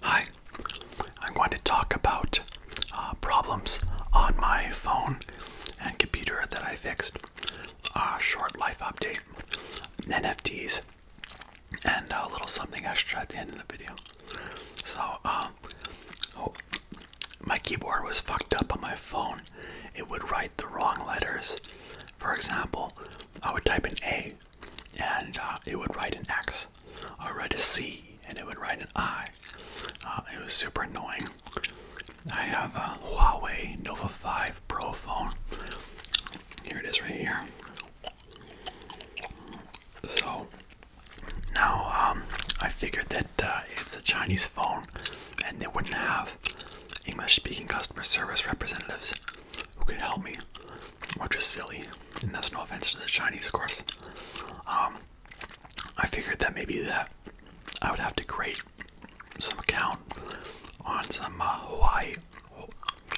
Hi, I'm going to talk about uh, problems on my phone and computer that I fixed, A short life update, NFTs, and a little something extra at the end of the video. So, um, oh, my keyboard was fucked up on my phone. It would write the wrong letters. For example, I would type an A and uh, it would write an X or write a C and it would write an I. Uh, it was super annoying. I have a Huawei Nova 5 Pro phone. Here it is right here. So now um, I figured that uh, it's a Chinese phone and they wouldn't have English speaking customer service representatives who could help me, which is silly and that's no offense to the Chinese, of course. Um, I figured that maybe that I would have to create some account on some uh, Hawaii,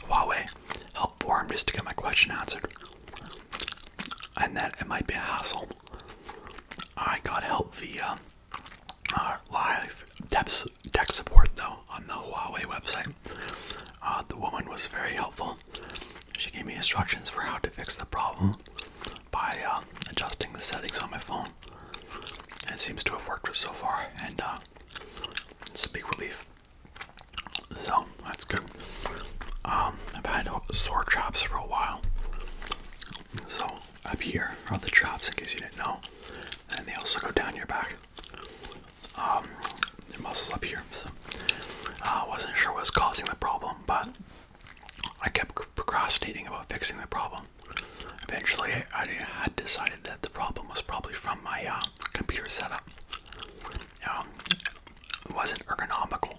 Huawei help forum just to get my question answered, and that it might be a hassle. I got help via uh, live tech support though, on the Huawei website. Uh, the woman was very helpful. She gave me instructions for how to fix the problem by uh, adjusting the settings on my phone. it seems to have worked so far, and uh, it's a big relief. So that's good. Um, I've had sore traps for a while. So up here are the traps, in case you didn't know, and they also go down your back um, muscles up here. So uh, I wasn't sure what was causing the problem, but I kept procrastinating about fixing the problem. Eventually, I had decided that the problem was probably from my uh, computer setup. Um, it wasn't ergonomical,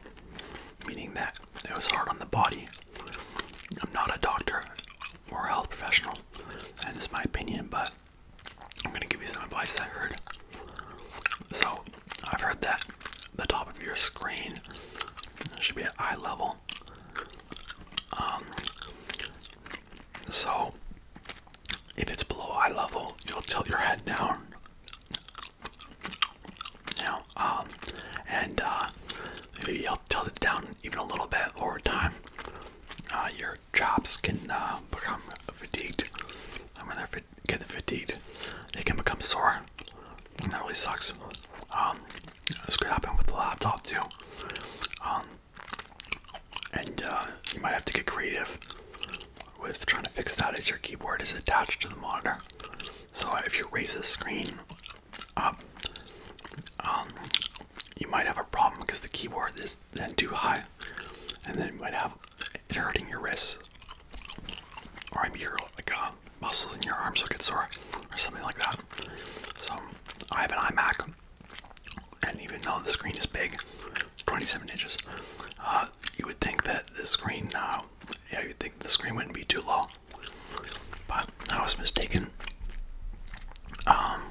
meaning that it was hard on the body. I'm not a doctor or a health professional, and this is my opinion, but I'm gonna give you some advice I heard. So, I've heard that the top of your screen should be at eye level. Um, so, if it's below eye level, you'll tilt your head down. You know, um, and uh, you'll tilt it down even a little bit over time. Uh, your your chops can uh, become fatigued. And when they're get fatigued, they can become sore. And that really sucks. Um, this could happen with the laptop too. Um, and uh, you might have to get creative with trying to fix that as your keyboard is attached to the monitor. So if you raise the screen up, um, you might have a problem because the keyboard is then too high, and then you might have it hurting your wrists, or maybe your like uh, muscles in your arms will get sore, or something like that. So I have an iMac, and even though the screen is big, 27 inches, uh, you would think that the screen now, uh, yeah, you'd think the screen wouldn't be too long, but I was mistaken. Um,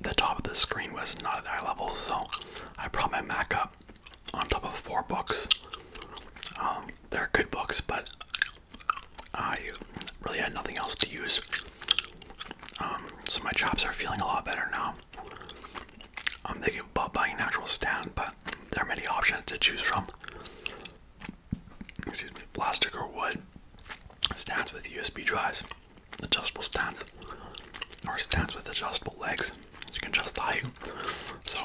the top of the screen was not at eye level, so I brought my Mac up on top of four books. Um, they're good books, but I really had nothing else to use. Um, so my chops are feeling a lot better now. I'm um, thinking about buying a natural stand, but there are many options to choose from. Excuse me, plastic or wood stands with USB drives adjustable stands or stands with adjustable legs. So you can adjust the So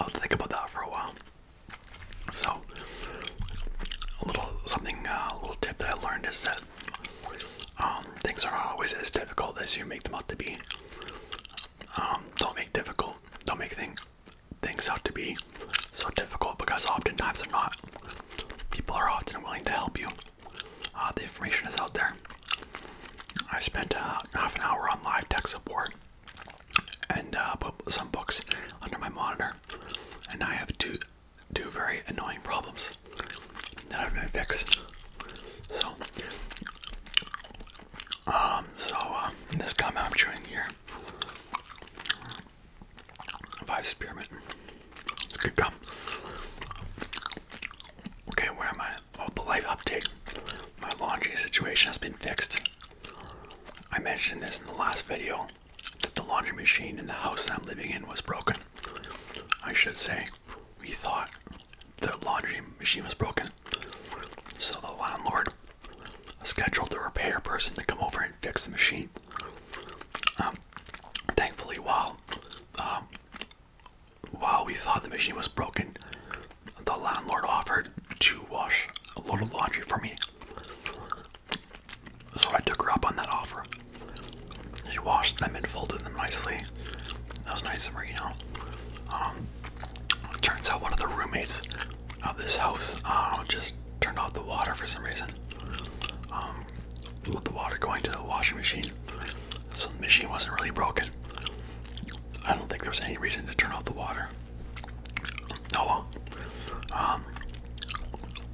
I'll think about that for a while. So a little something, uh, a little tip that I learned is that um, things are not always as difficult as you make them out to be. Um, don't make difficult. Don't make things things out to be so difficult because oftentimes they're not. People are often willing to help you uh, the information is out there. I spent uh, half an hour on live tech support and uh, put some books under my monitor, and I have two two very annoying problems that I've to fix. So, um, so um, this gum I'm chewing here, five spearmint. It's good gum. Okay, where am I? Oh, the life update. My laundry situation has been fixed. I mentioned this in the last video that the laundry machine in the house I'm living in was broken. I should say, we thought the laundry machine was broken. So the landlord scheduled the repair person to come over and fix the machine. Um, thankfully, while um, while we thought the machine was broken, the landlord offered to wash a load of laundry for me. So I took her up on that offer. She washed them and folded them nicely. That was nice of her, you know. Um, turns out one of the roommates of this house uh, just turned off the water for some reason. Um, the water going to the washing machine so the machine wasn't really broken. I don't think there was any reason to turn off the water. Oh um,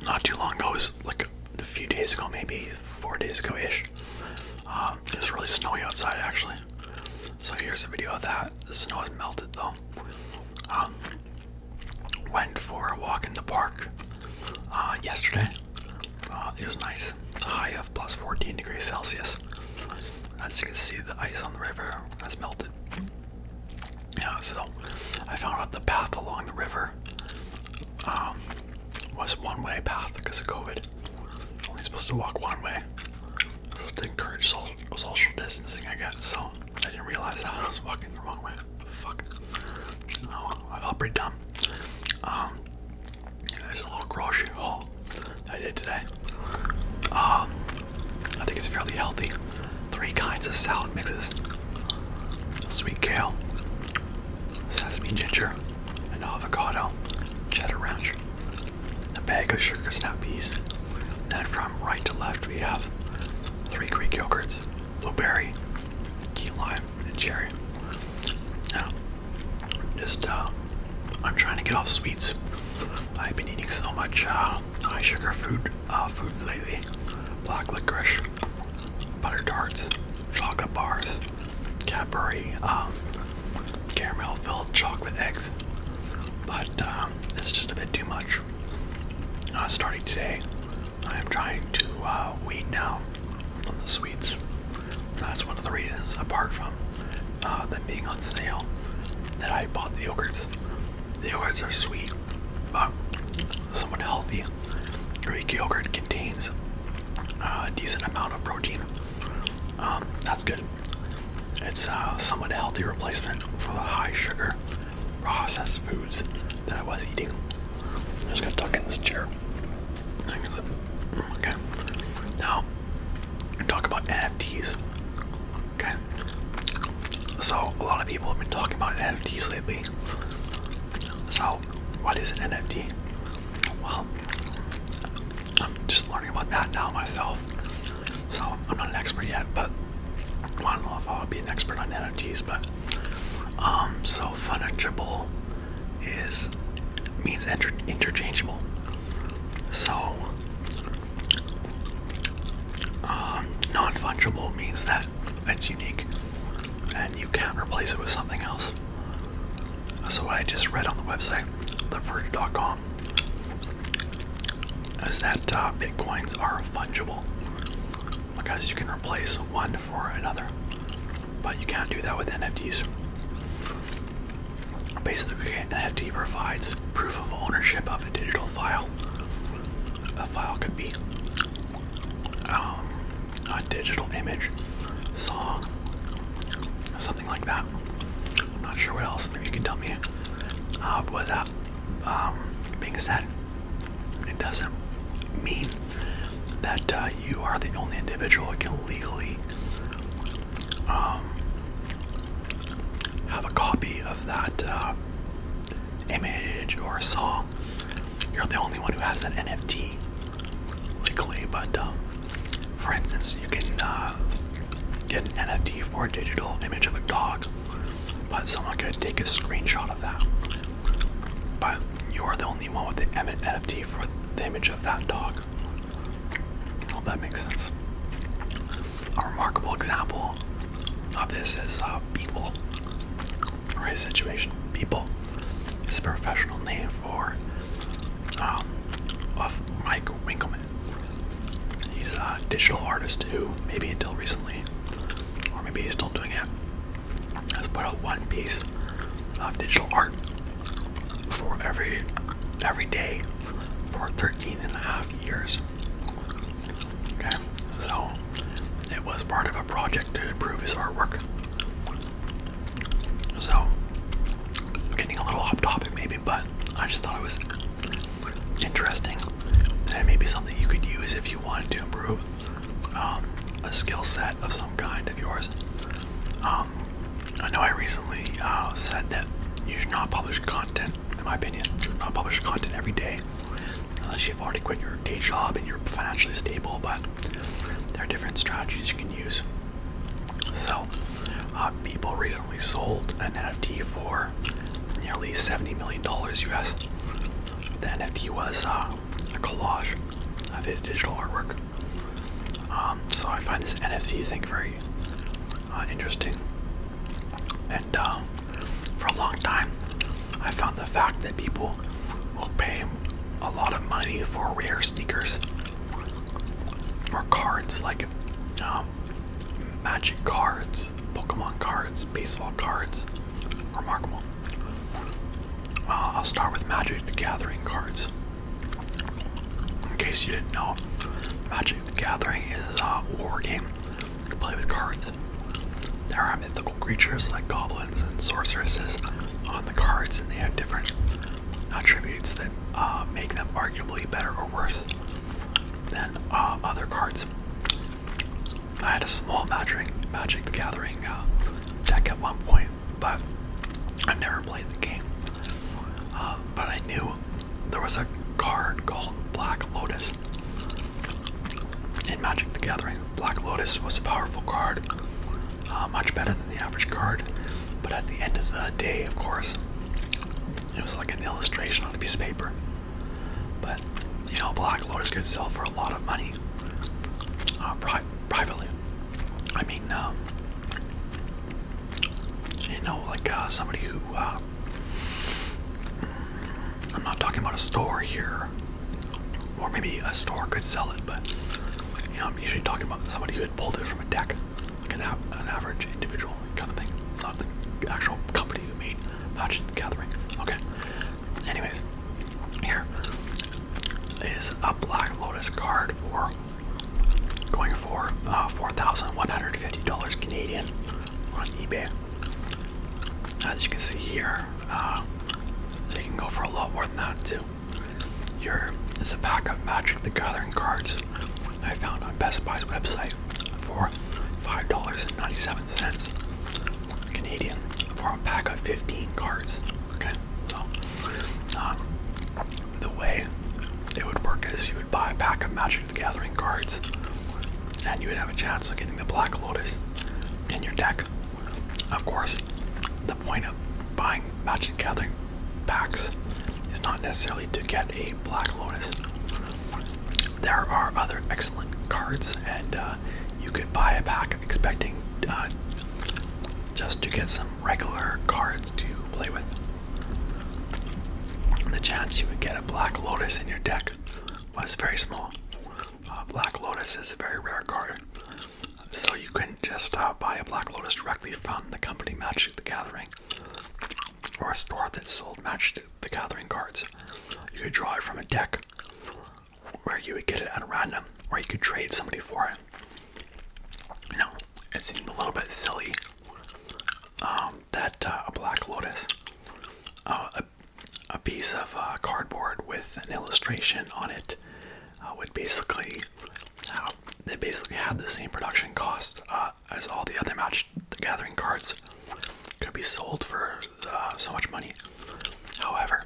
not too long ago, it was like a few days ago, maybe four days ago ish. Um, it was really snowy outside actually. So here's a video of that. The snow has melted though. Um, went for a walk in the park uh, yesterday. Uh, it was nice. high of plus 14 degrees Celsius. As you can see, the ice on the river has melted. Yeah, so I found out the path along the river um, was one-way path because of COVID. Only supposed to walk one way. So to encourage social, social distancing, I guess. So I didn't realize that I was walking the wrong way. Fuck. Oh, I felt pretty dumb. Um, there's a little grocery haul I did today. Um, I think it's fairly healthy. Three kinds of salad mixes: sweet kale, sesame ginger, and avocado, cheddar ranch, a bag of sugar snap peas. Then from right to left we have three Greek yogurts, blueberry, key lime, and cherry. Now, just uh, I'm trying to get off sweets. I've been eating so much uh, high sugar food uh, foods lately: black licorice, butter tarts, chocolate bars, Cadbury, um, caramel-filled chocolate eggs. But it's just a bit too much. Uh, starting today, I am trying to uh, weed out the sweets. That's one of the reasons, apart from uh, them being on sale, that I bought the yogurts. The yogurts are sweet, but somewhat healthy. Greek yogurt contains uh, a decent amount of protein. Um, that's good. It's a somewhat healthy replacement for the high sugar processed foods that I was eating. I'm just gonna tuck in this chair. Okay. Now, talk about NFTs. Okay. So a lot of people have been talking about NFTs lately. So, what is an NFT? Well, I'm just learning about that now myself. So I'm not an expert yet, but I don't know if I'll be an expert on NFTs. But um, so fungible is means inter interchangeable. So um, non-fungible means that it's unique and you can't replace it with something else. So what I just read on the website, theverge.com, is that uh, bitcoins are fungible because you can replace one for another. But you can't do that with NFTs. Basically, an NFT provides proof of ownership of a digital file. A file could be um, a digital image, song, something like that. I'm not sure what else. Maybe you can tell me. Uh, with that um, being said, it doesn't mean that uh, you are the only individual who can legally um, have a copy of that uh, image or song. You're the only one who has that NFT legally, but um, for instance, you can uh, get an NFT for a digital image of a dog, but someone could take a screenshot of that but you are the only one with the NFT for the image of that dog. Hope that makes sense. A remarkable example of this is uh, people, or his situation. People is a professional name for um, of Mike Winkleman. He's a digital artist who, maybe until recently, or maybe he's still doing it, Let's put out one piece of digital art for every every day for 13 and a half years. Okay, so it was part of a project to improve his artwork. So getting a little off topic maybe, but I just thought it was interesting and maybe something you could use if you wanted to improve um, a skill set of some kind of yours. Um, I know I recently uh, said that you should not publish content, in my opinion, you should not publish content every day unless you've already quit your day job and you're financially stable, but there are different strategies you can use. So, people uh, recently sold an NFT for nearly $70 million US. The NFT was uh, a collage of his digital artwork. Um, so I find this NFT thing very uh, interesting. And um, for a long time, I found the fact that people will pay a lot of money for rare sneakers or cards like um, magic cards, Pokemon cards, baseball cards, Remarkable. I'll start with Magic the Gathering cards. In case you didn't know, Magic the Gathering is a war game. You play with cards. There are mythical creatures like goblins and sorceresses on the cards, and they have different attributes that uh, make them arguably better or worse than uh, other cards. I had a small Magic, Magic the Gathering uh, deck at one point, but i never played the game. Uh, but I knew there was a card called Black Lotus in Magic the Gathering. Black Lotus was a powerful card, uh, much better than the average card, but at the end of the day, of course, it was like an illustration on a piece of paper. But you know, Black Lotus could sell for a lot of money. Uh, privately. I mean, um, you know, like uh, somebody who, uh, mm, I'm not talking about a store here, or maybe a store could sell it, but you know, I'm usually talking about somebody who had pulled it from a deck, like an, average individual kind of thing, not the actual company who mean, Magic Gathering. Okay, Anyways, here is a Black Lotus card for going for uh, $4,150 Canadian on eBay. As you can see here, they uh, can go for a lot more than that too. Here is a pack of Magic the Gathering cards I found on Best Buy's website for $5.97. Canadian for a pack of 15 cards. Okay, so um, the way it would work is you would buy a pack of Magic the Gathering cards and you would have a chance of getting the Black Lotus in your deck. Of course, the point of buying Magic the Gathering packs is not necessarily to get a Black Lotus. There are other excellent cards, and uh, you could buy a pack expecting uh, just to get some regular cards to play with. The chance you would get a Black Lotus in your deck was very small. Uh, Black Lotus is a very rare card, so you couldn't just uh, buy a Black Lotus directly from the company Magic the Gathering or a store that sold Magic the Gathering cards. You could draw it from a deck where you would get it at random or you could trade somebody for it. You know, it seemed a little bit silly um, that uh, a Black Lotus, uh, a, a piece of uh, cardboard with an illustration on it, would basically, uh, they basically had the same production cost as all the other match Gathering cards could be sold for so much money. However,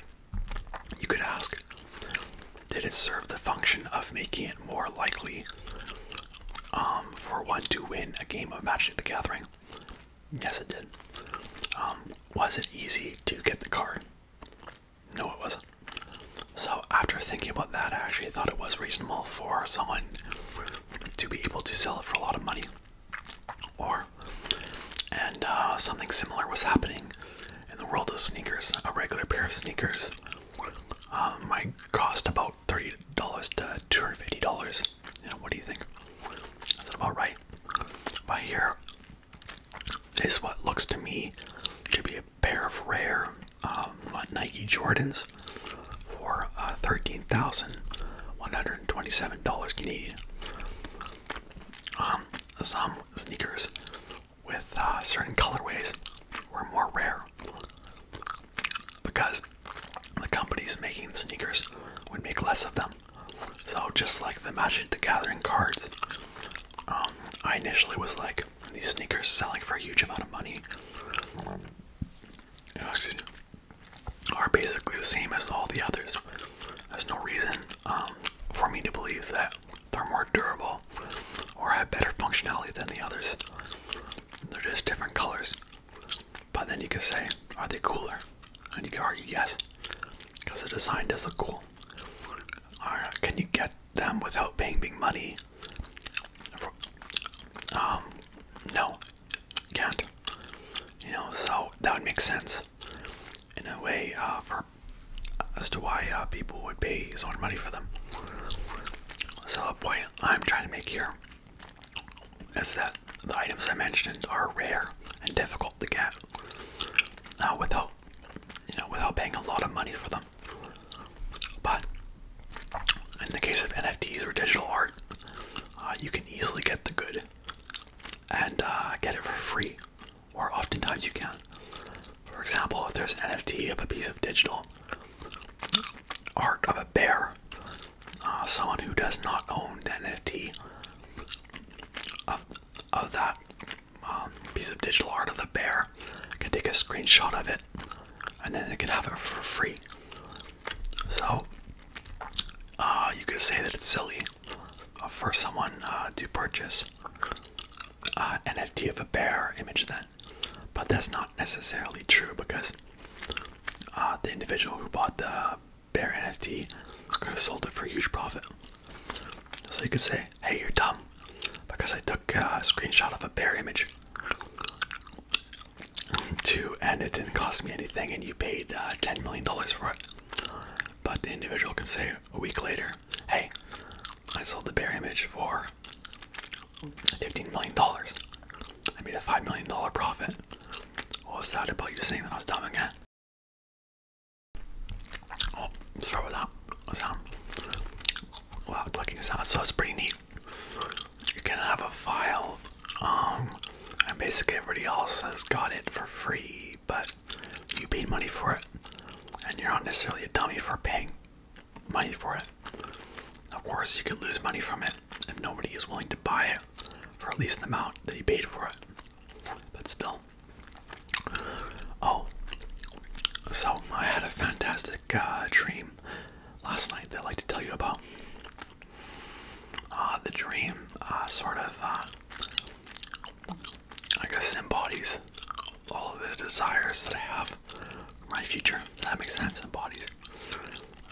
you could ask, did it serve the function of making it more likely um, for one to win a game of Magic the Gathering? Yes, it did. Um, was it easy to get the card? No, it wasn't. So, after thinking about that, I actually thought it was reasonable for someone to be able to sell it for a lot of money or and uh, something similar was happening in the world of sneakers. A regular pair of sneakers um, might cost about thirty dollars to two hundred fifty dollars. what do you think? Is that about right? But here is what looks to me to be a pair of rare um, Nike Jordans for uh, thirteen thousand one hundred twenty-seven dollars Canadian. Um, some sneakers with uh, certain colorways were more rare because the companies making the sneakers would make less of them. So just like the Magic the Gathering cards, um, I initially was like, these sneakers selling for a huge amount of money uh, are basically the same as all the others. There's no reason um, for me to believe that they're more durable or have better functionality than the others. They're just different colors. But then you can say, are they cooler? And you can argue yes, because the design does look cool. Or can you get them without paying big money? Um, no, you can't. You know, so that would make sense in a way uh, uh, as to why uh, people would pay so much money for them. So the point I'm trying to make here is that the items I mentioned are rare and difficult to get uh, without, you know, without paying a lot of money for them. But in the case of NFTs or digital art, you can easily get the good and get it for free or oftentimes you can. For example, if there's an NFT of a piece of digital art of a bear, uh, someone who does not own the NFT of, of that um, piece of digital art of the bear can take a screenshot of it and then they can have it for free. So uh, you could say that it's silly uh, for someone uh, to purchase uh, NFT of a bear image then, but that's not necessarily true because uh, the individual who bought the bear NFT could have sold it for a huge profit. So you could say, "Hey, you're dumb," because I took a screenshot of a bear image to, and it didn't cost me anything, and you paid ten million dollars for it. But the individual can say a week later, hey, I sold the bear image for $15 million. I made a $5 million profit. What was that about you saying that I was dumb again? Oh, start with sound. Wow, looking sound. So it's pretty neat. You can have a file, um, and basically everybody else has got it for free but you paid money for it, and you're not necessarily a dummy for paying money for it. Of course, you could lose money from it if nobody is willing to buy it for at least the amount that you paid for it. But still. Oh, so I had a fantastic uh, dream last night that I'd like to tell you about. Uh, the dream uh, sort of I guess it embodies all of the desires that I have for my future. If that makes sense. Embodies.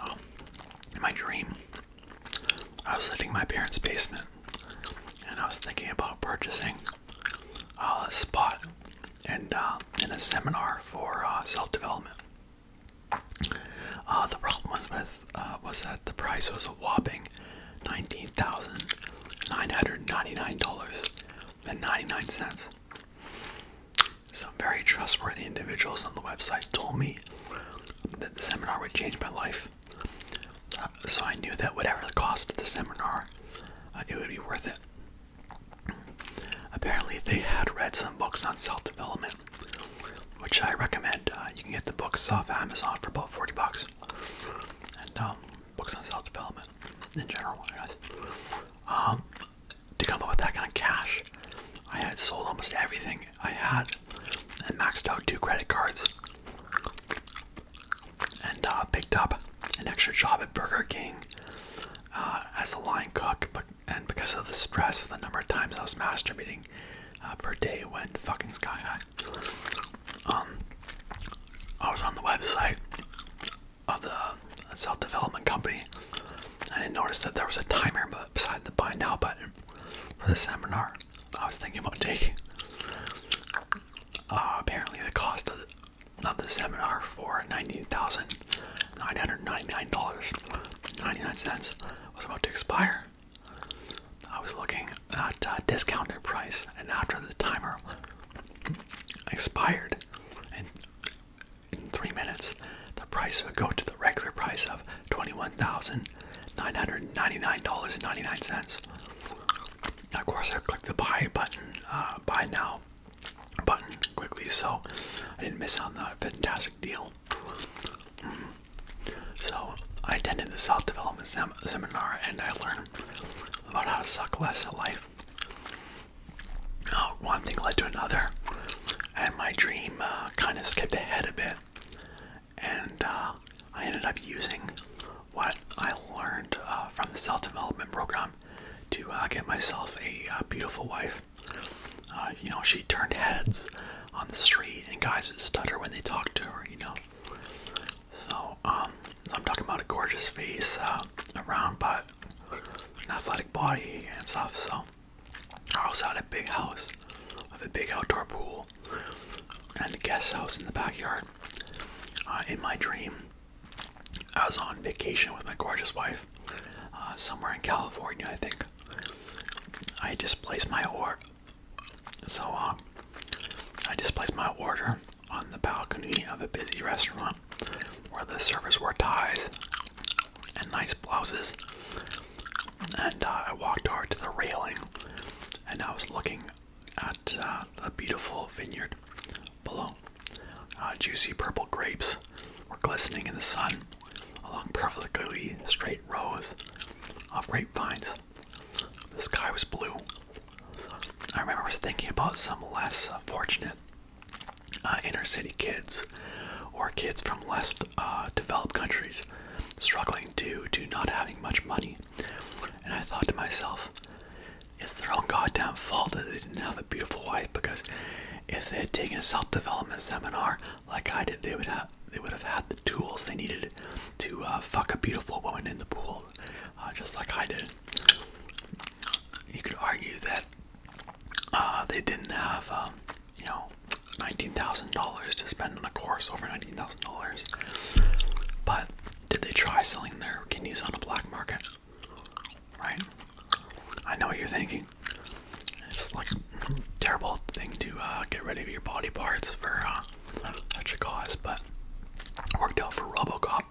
Um, in my dream, I was living in my parents' basement, and I was thinking about purchasing uh, a spot and uh, in a seminar for uh, self-development. Uh, the problem was with uh, was that the price was a whopping nineteen thousand nine hundred ninety-nine dollars and ninety-nine cents. Some very trustworthy individuals on the website told me that the seminar would change my life. Uh, so I knew that whatever the cost of the seminar, uh, it would be worth it. Apparently, they had read some books on self development, which I recommend. Uh, you can get the books off Amazon for about 40 bucks. And um, books on self-development in general, guys. Um, to come up with that kind of cash, I had sold almost everything I had and maxed out two credit cards and uh, picked up an extra job at Burger King uh, as a line cook. But, and because of the stress, the number of times I was masturbating per day went fucking sky high. Um, I was on the website of the self development company. I didn't notice that there was a timer but beside the buy now button for the seminar. I was thinking about taking. Uh, apparently, the cost of the, of the seminar for ninety thousand nine hundred ninety nine dollars ninety nine cents was about to expire. I was looking at uh, discounted price, and after the timer expired, in three minutes, the price would go to the regular price of twenty-one thousand nine hundred ninety-nine dollars and ninety-nine cents. Of course, I clicked the buy button, uh, buy now button quickly, so I didn't miss out on that fantastic deal. So I attended the self development seminar and I learned about how to suck less at life. Uh, one thing led to another, and my dream uh, kind of skipped ahead a bit. And uh, I ended up using what I learned uh, from the self development program to get myself a beautiful wife. you know, she turned heads on the street, and guys would stutter when they talked to her, you know. Um, so, I'm talking about a gorgeous face, uh, a round butt, an athletic body and stuff. So, I also had a big house with a big outdoor pool and a guest house in the backyard. Uh, in my dream, I was on vacation with my gorgeous wife, uh, somewhere in California, I think. I just placed my oar so uh, I just placed my order on the balcony of a busy restaurant where the servers wore ties and nice blouses. And uh, I walked over to the railing and I was looking at uh, a beautiful vineyard below. juicy purple grapes were glistening in the sun along perfectly straight rows of grapevines. The sky was blue. I remember thinking about some less fortunate uh, inner city kids or kids from less uh, developed countries struggling due to not having much money. And I thought to myself, it's their own goddamn fault that they didn't have a beautiful wife because if they had taken a self development seminar like I did, they would have they would have had the tools they needed to uh, fuck a beautiful woman in the pool, uh, just like I did. You could argue that uh, they didn't have, um, you know, $19,000 to spend on a course over $19,000. But did they try selling their kidneys on a black market? Right? I know what you're thinking. It's like terrible thing to uh, get rid of your body parts for uh, such a cause, but worked out for Robocop.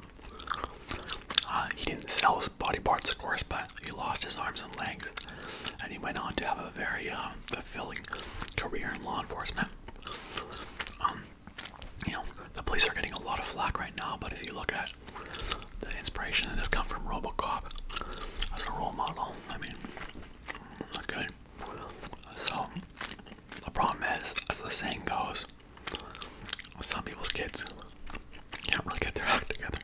Uh, he didn't sell his body parts, of course, but he lost his arms and legs, and he went on to have a very uh, fulfilling career in law enforcement. Um, you know, the police are getting a lot of flack right now, but if you look at the inspiration that has come from Robocop as a role model, I mean, not good. So the problem is, as the saying goes, some people's kids can't really get their act together.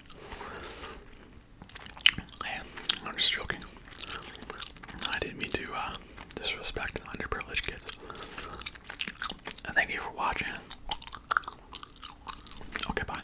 I'm just joking. I didn't mean to uh, disrespect underprivileged kids. thank you for watching. Okay, bye.